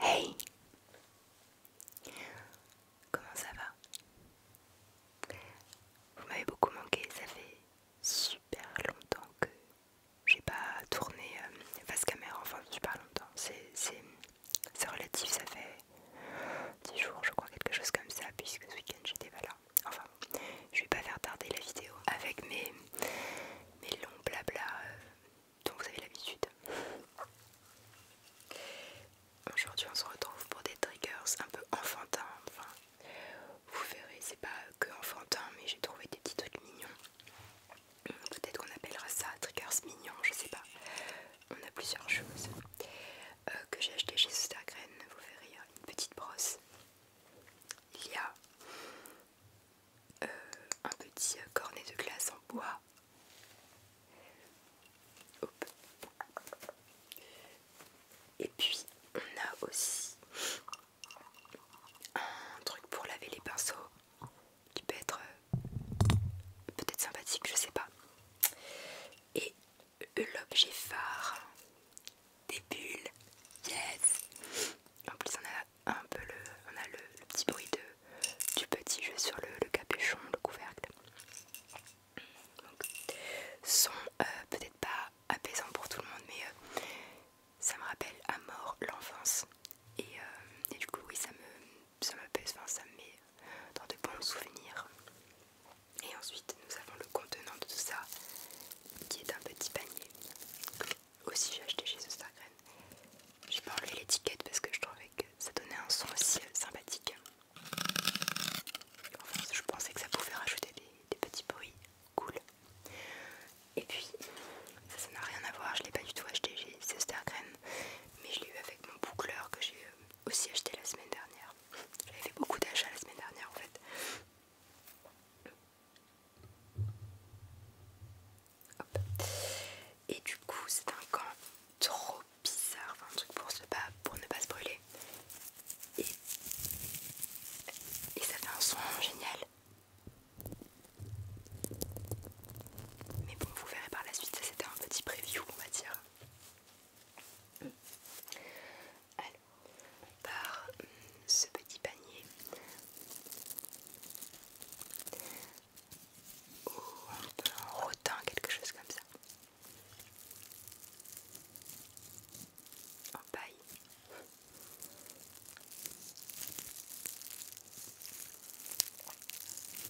Hey Comment ça va Vous m'avez beaucoup manqué, ça fait super longtemps que j'ai pas tourné euh, face caméra, enfin super longtemps, c'est relatif, ça fait 10 jours, je crois, quelque chose comme ça, puisque ce week-end j'étais pas là. Enfin, je vais pas faire tarder la vidéo avec mes, longs blabla euh, dont vous avez l'habitude. Aujourd'hui, on se retrouve pour des triggers un peu enfantins. Enfin, vous verrez, c'est pas que enfantin, mais j'ai trouvé des petits trucs mignons. Peut-être qu'on appellera ça triggers mignons, je sais pas. On a plusieurs choses. Euh, que j'ai acheté chez Stargrain, vous verrez, une petite brosse. Il y a euh, un petit cornet de glace en bois. Et puis on a aussi un truc pour laver les pinceaux qui peut être euh, peut-être sympathique, je sais pas. Et l'objet phare des bulles. Yes! En plus, on a un peu le, on a le, petit bruit de, du petit jeu sur le, capuchon, le couvercle. Donc, son euh, peut-être pas apaisant pour tout le monde, mais euh, ça me rappelle à mort l'enfance. Euh, et, du coup, oui, ça me, ça m'apaise, enfin, ça me met dans de bons souvenirs. Et ensuite, nous avons le contenant de tout ça qui est un petit panier. Aussi, j'ai acheté chez Je J'ai pas enlevé l'étiquette parce que je trouvais que ça donnait un son aussi euh, sympathique. Enfin, je pensais que ça pouvait rajouter des, petits bruits cool. Et puis, ça, n'a rien à voir, je l'ai pas du tout acheté chez Stargrain, mais je l'ai eu avec mon boucleur que j'ai euh, aussi acheté la semaine dernière. J'avais fait beaucoup d'achats la semaine dernière en fait. Et du coup c'est un gant trop bizarre, enfin un truc pour, se pas, pour ne pas se brûler. Et, et ça fait un son génial. Mais bon vous verrez par la suite, ça c'était un petit preview on va dire. Alors, par hum, ce petit panier ou oh, en rotin quelque chose comme ça. En paille.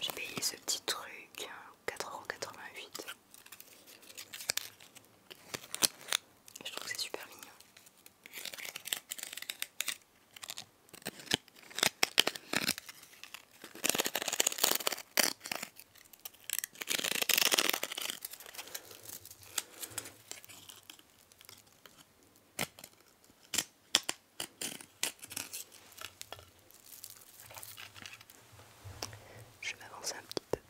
J'ai payé ce petit truc 4,88€. Hein, Je trouve que c'est super mignon. Je m'avance un petit peu.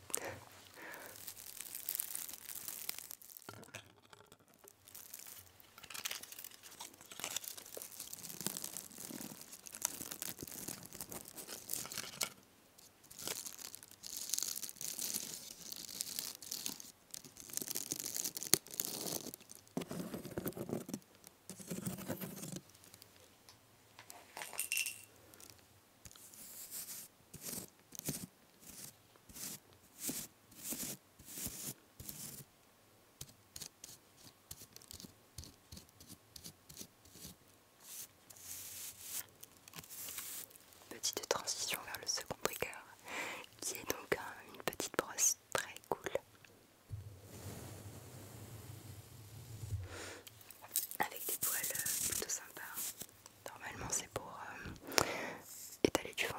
Petite transition vers le second trigger qui est donc une petite brosse très cool avec des poils euh, plutôt sympas. Normalement c'est pour euh, étaler du fond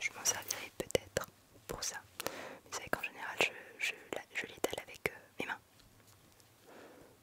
Je m'en servirai peut-être pour ça. Mais vous savez qu'en général je, l'étale avec euh, mes mains.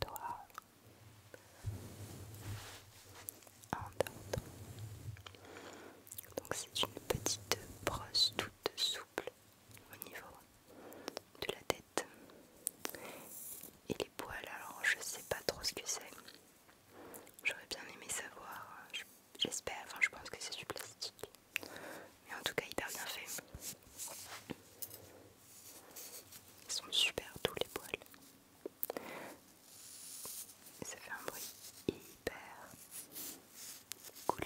toi Donc c'est une petite brosse toute souple au niveau de la tête. Et les poils, alors je sais pas trop ce que c'est. J'aurais bien aimé savoir. J'espère, enfin je pense que c'est du plastique. Mais en tout cas, hyper bien fait. Ils sont super tous les poils. ça fait un bruit hyper cool.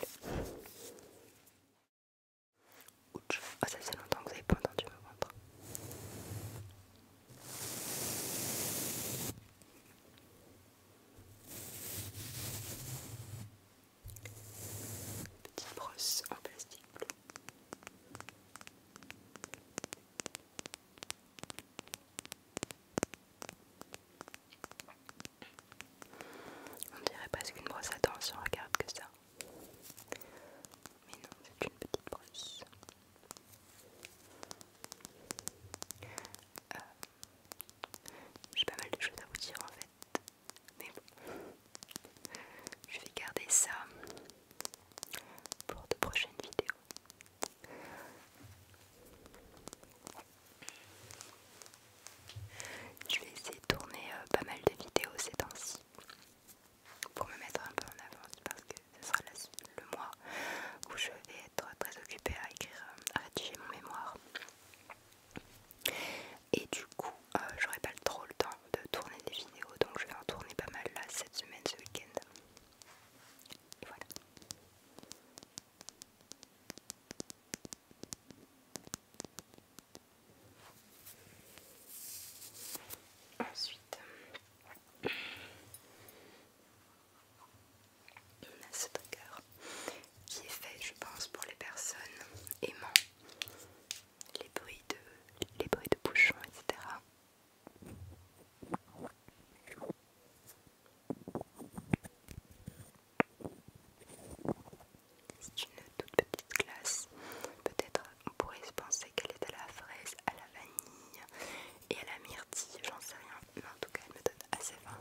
Ah, ça fait longtemps que vous n'avez pas entendu me ventre. Petite brosse en plastique bleu. On dirait presque une brosse à dents si on regarde que ça. Mais non, c'est une petite brosse. Euh, j'ai pas mal de choses à vous dire en fait, mais bon, je vais garder ça pour de prochaines vidéos. Je vais essayer de tourner euh, pas mal de vidéos ces temps-ci pour me mettre un peu en avance parce que ce sera le mois où je vais être très occupée à écrire, euh, à rédiger mon mémoire. Et du coup, j'aurai euh, j'aurais pas trop le temps de tourner des vidéos, donc je vais en tourner pas mal là cette semaine, ce week-end. Voilà. Ensuite, on a ce trigger qui est fait, je pense, pour les personnes aimant les bruits de, les bruits de bouchons, etc. C'est une toute petite glace. Peut-être on pourrait se penser qu'elle est à la fraise, à la vanille et à la myrtille, j'en sais rien. Mais en tout cas, elle me donne assez faim.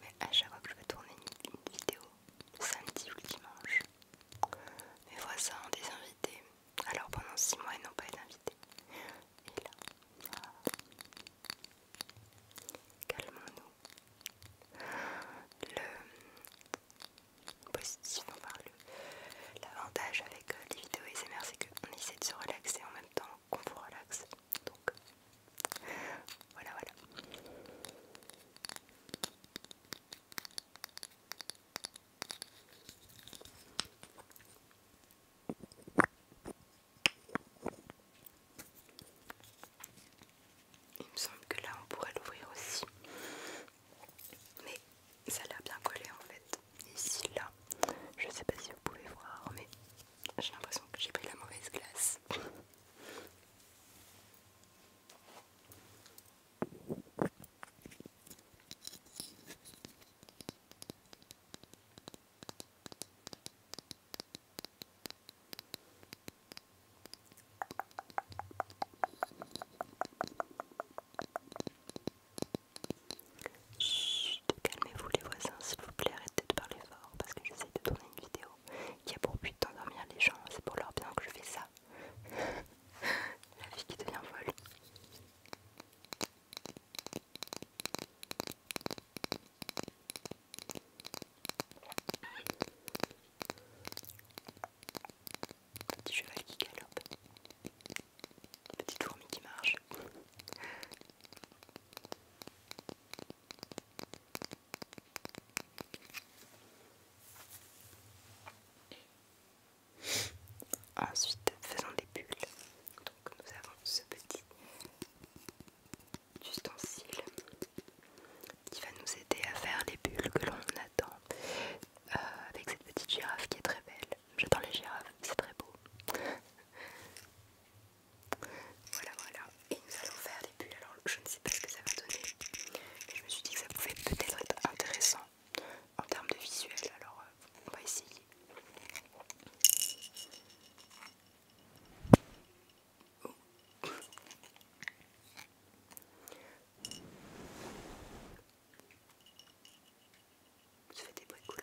Mais à chaque fois que je vais tourner une, vidéo, le samedi ou le dimanche, mes voisins ont des invités. Alors pendant 6 mois, ils n'ont pas été invités. Et là, bah, calmons-nous. Le positif, l'avantage avec euh, les vidéos SMR, c'est qu'on essaie de se relaxer temps qu'on vous relaxe. Donc voilà, voilà. Il me semble que là on pourrait l'ouvrir aussi. Mais ça l'air bien collé en fait ici, là. Je sais pas si vous pouvez voir, mais j'ai l'impression que j'ai pris la mauvaise glace. Chut, calmez-vous les voisins, s'il vous plaît, arrêtez de parler fort parce que j'essaie de tourner une vidéo qui a pour but d'endormir les gens. C'est pour leur bien que je fais ça. La vie qui devient folle. Petit cheval qui galope. Petite fourmi qui marche. Ensuite, faisons des bulles. Donc, nous avons ce petit ustensile qui va nous aider à faire les bulles que l'on attend euh, avec cette petite girafe qui est très belle. J'adore les girafes, c'est très beau. voilà, voilà. Et nous allons faire des bulles. Alors, je ne sais pas ce que ça va donner, mais je me suis dit que ça pouvait peut-être être intéressant en termes de visuel. Alors, euh, on va essayer. Ça fait des bruits cool.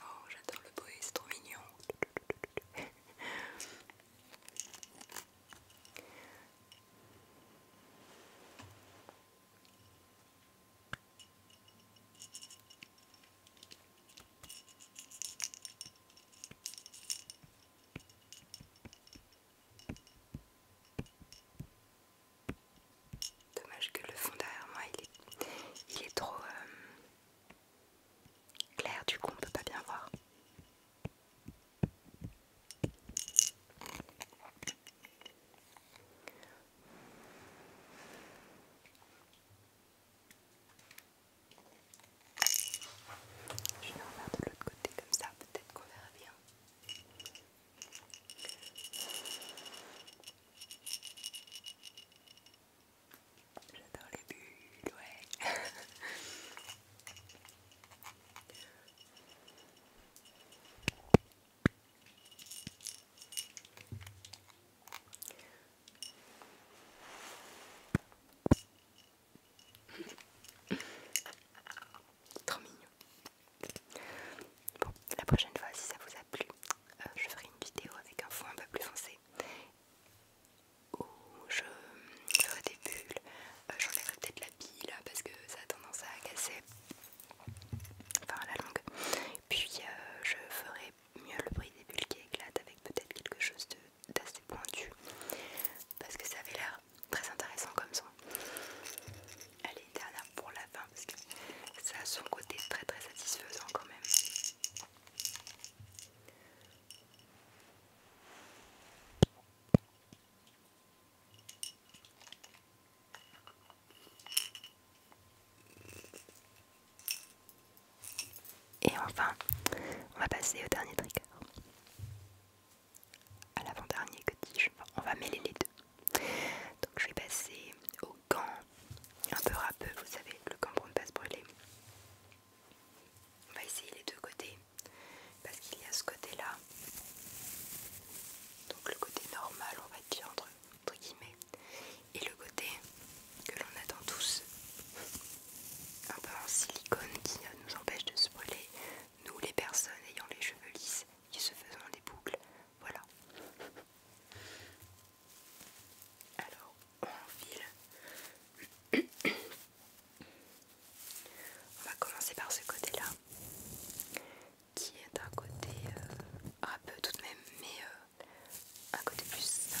Oh, j'adore le bruit, c'est trop mignon. Dommage que le fond derrière moi il est, est trop euh, clair, du coup on peut pas bien voir. Je vais en faire de l'autre côté comme ça, peut-être qu'on verra bien. J'adore les bulles, ouais. Trop mignon. Bon, la prochaine fois, si ça vous a plu, euh, je ferai une vidéo avec un fond un peu plus foncé où je ferai des bulles. Euh, j'enlèverai peut-être la bille là, parce que ça a tendance à casser. Enfin, la langue Puis euh, je ferai mieux le bruit des bulles qui éclatent avec peut-être quelque chose d'assez pointu parce que ça avait l'air très intéressant comme ça Allez, dernière pour la fin parce que ça a son côté très très satisfaisant quand même. Et enfin, on va passer au dernier trigger. À l'avant-dernier que dis On va mêler les deux. Donc je vais passer au gant un peu râpeux, vous savez, le gant pour ne pas se brûler. On va essayer les deux côtés parce qu'il y a ce côté-là. Donc le côté normal, on va dire entre entre guillemets, et le côté que l'on attend tous, un peu en silicone qui euh, nous empêche de se brûler, nous les personnes ayant les cheveux lisses qui se faisant des boucles, voilà. Alors on enfile. On va commencer par ce côté-là, qui est un côté euh, un peu tout de même, mais euh, un côté plus simple.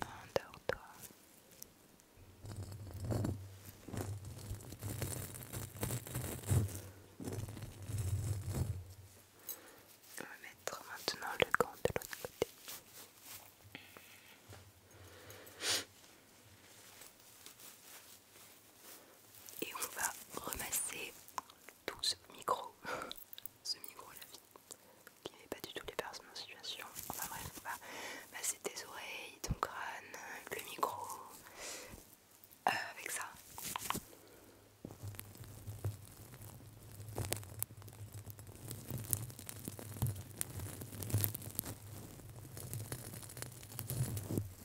Endors-toi. On va mettre maintenant le gant de l'autre côté. Et on va remasser tout ce micro, ce micro la vie, qui n'est pas du tout les personnes en situation. Enfin bref, on va masser tes oreilles, ton crâne, le micro, euh, avec ça.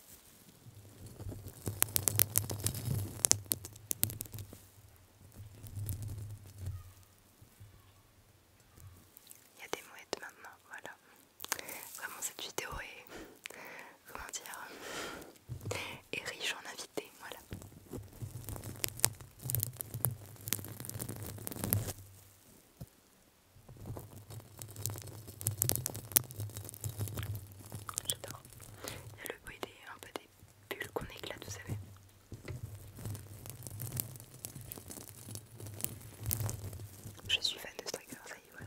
Il y a des mouettes maintenant, voilà. Vraiment cette vidéo est, comment dire, est riche en invités, voilà. J'adore. Il y a le bruit des, un peu des bulles qu'on éclate, vous savez. Je suis fan de Striker, ça y est, voilà.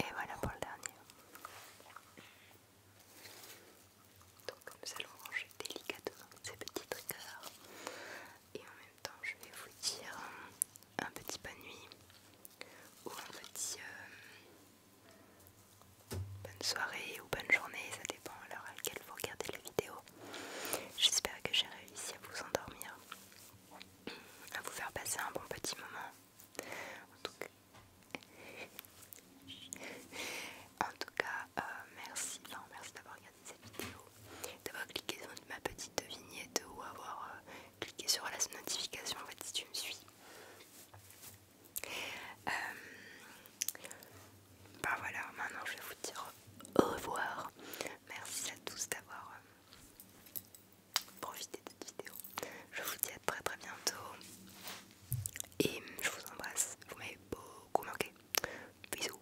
Et voilà pour le dernier. Donc nous allons ranger délicatement ces petits triggers et en même temps je vais vous dire un petit bonne nuit ou un petit euh, bonne soirée ou bonne journée, ça dépend à l'heure à laquelle vous regardez la vidéo. J'espère que j'ai réussi à vous endormir, à vous faire passer un bon petit moment. En tout cas, euh, merci, merci d'avoir regardé cette vidéo, d'avoir cliqué sur ma petite vignette ou avoir euh, cliquez sur la notification en fait si tu me suis. ben voilà, maintenant je vais vous dire au revoir. Merci à tous d'avoir euh, profité de cette vidéo. Je vous dis à très très bientôt. Et je vous embrasse. Vous m'avez beaucoup manqué. Bisous.